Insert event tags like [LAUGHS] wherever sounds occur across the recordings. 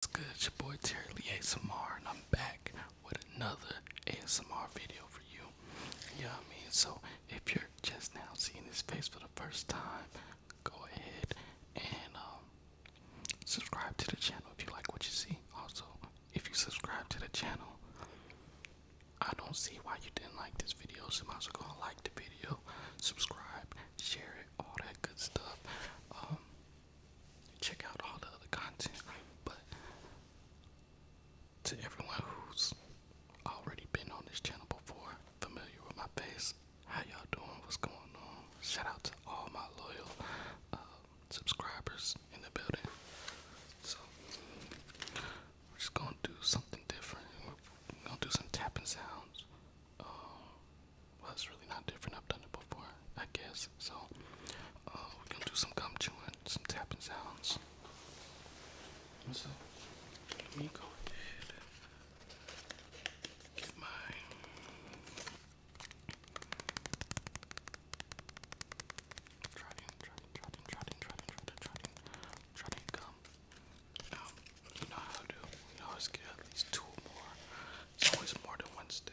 What's good? It's your boy Terry Lee ASMR, and I'm back with another ASMR video for you. Yeah, you I mean, so if you're just now seeing this face for the first time, go ahead and um, subscribe to the channel if you like what you see. Also, if you subscribe to the channel, I don't see why you didn't like this video, so you might as gonna like the video, subscribe, share it, all that good stuff. Um, check out all the other content, but to everyone who's already been on this channel before, familiar with my face, how y'all doing? What's going on? Shout out to all my loyal um, subscribers in the building. So we're just gonna do something different. We're gonna do some tapping sounds. Um, well, it's really not different. I've done it before, I guess. So, we're gonna do some gum chewing, some tapping sounds. So, let me go ahead get my. Trotting, trotting, trotting, trotting, trotting, trotting, trotting, trotting gum um, um, you know how to do. You always get at least two or more. It's always more than one stick.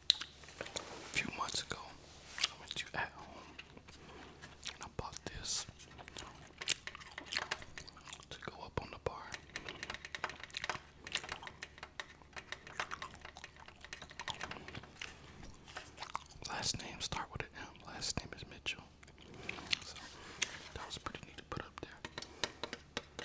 a few months ago, I went to at home and I bought this to go up on the bar. Last name start with an M. Last name is Mitchell. So that was pretty neat to put up there.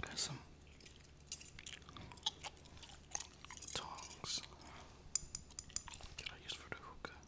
Got some tongs that I use for the hookah.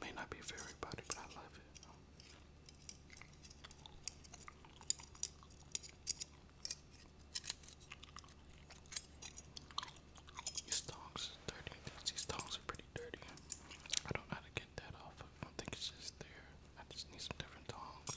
May not be for everybody, but I love it. These tongs dirty. These tongs are pretty dirty. I don't know how to get that off. I don't think it's just there. I just need some different tongs.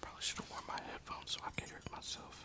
Probably should have worn my headphones so I can hear it myself.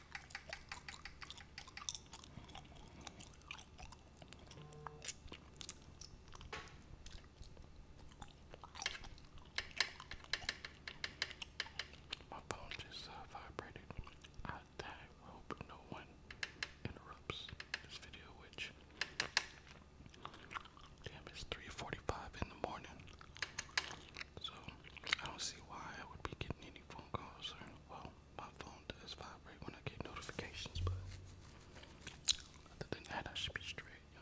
My phone just uh, vibrated. I Hope no one interrupts this video, which damn, it's 3:45 in the morning. So I don't see why I would be getting any phone calls well, my phone does vibrate when I get notifications, but other than that I should be straight, you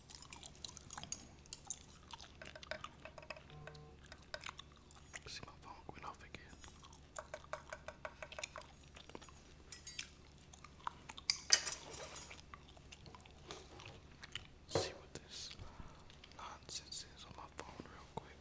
See my phone went off again. See what this nonsense is on my phone real quick.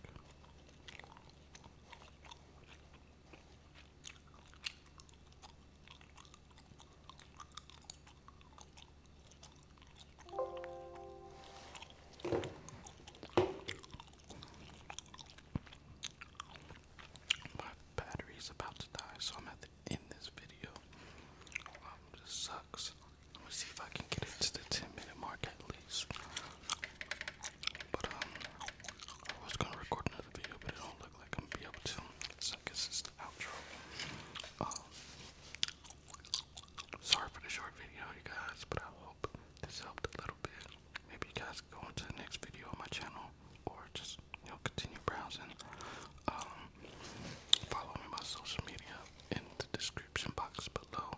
My battery's about to die, so I'm at the end this video. Um, this sucks. Let me see if I can get it to the 10 minute mark at least. But um, I was gonna record another video, but it don't look like I'm be able to this, I is the outro. Um, sorry for the short video, you guys, but I hope this helped a little bit. Maybe you guys can go into the next video on my channel or just, you know, continue browsing. Um, follow me on social media in the description box below.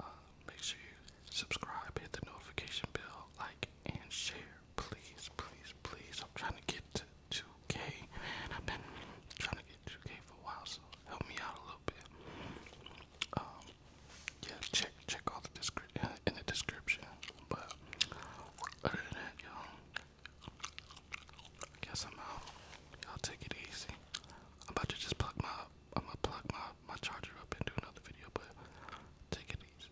Uh, make sure you subscribe, hit the notification bell, like, and share. Please, please, please. I'm trying to get 2K. have been trying to get 2K for a while, so help me out a little bit. Um, yeah, check check all the description [LAUGHS] in the description. But other than that, y'all, guess I'm out. Y'all take it easy. I'm about to just plug my I'm gonna plug my my charger up and do another video, but take it easy.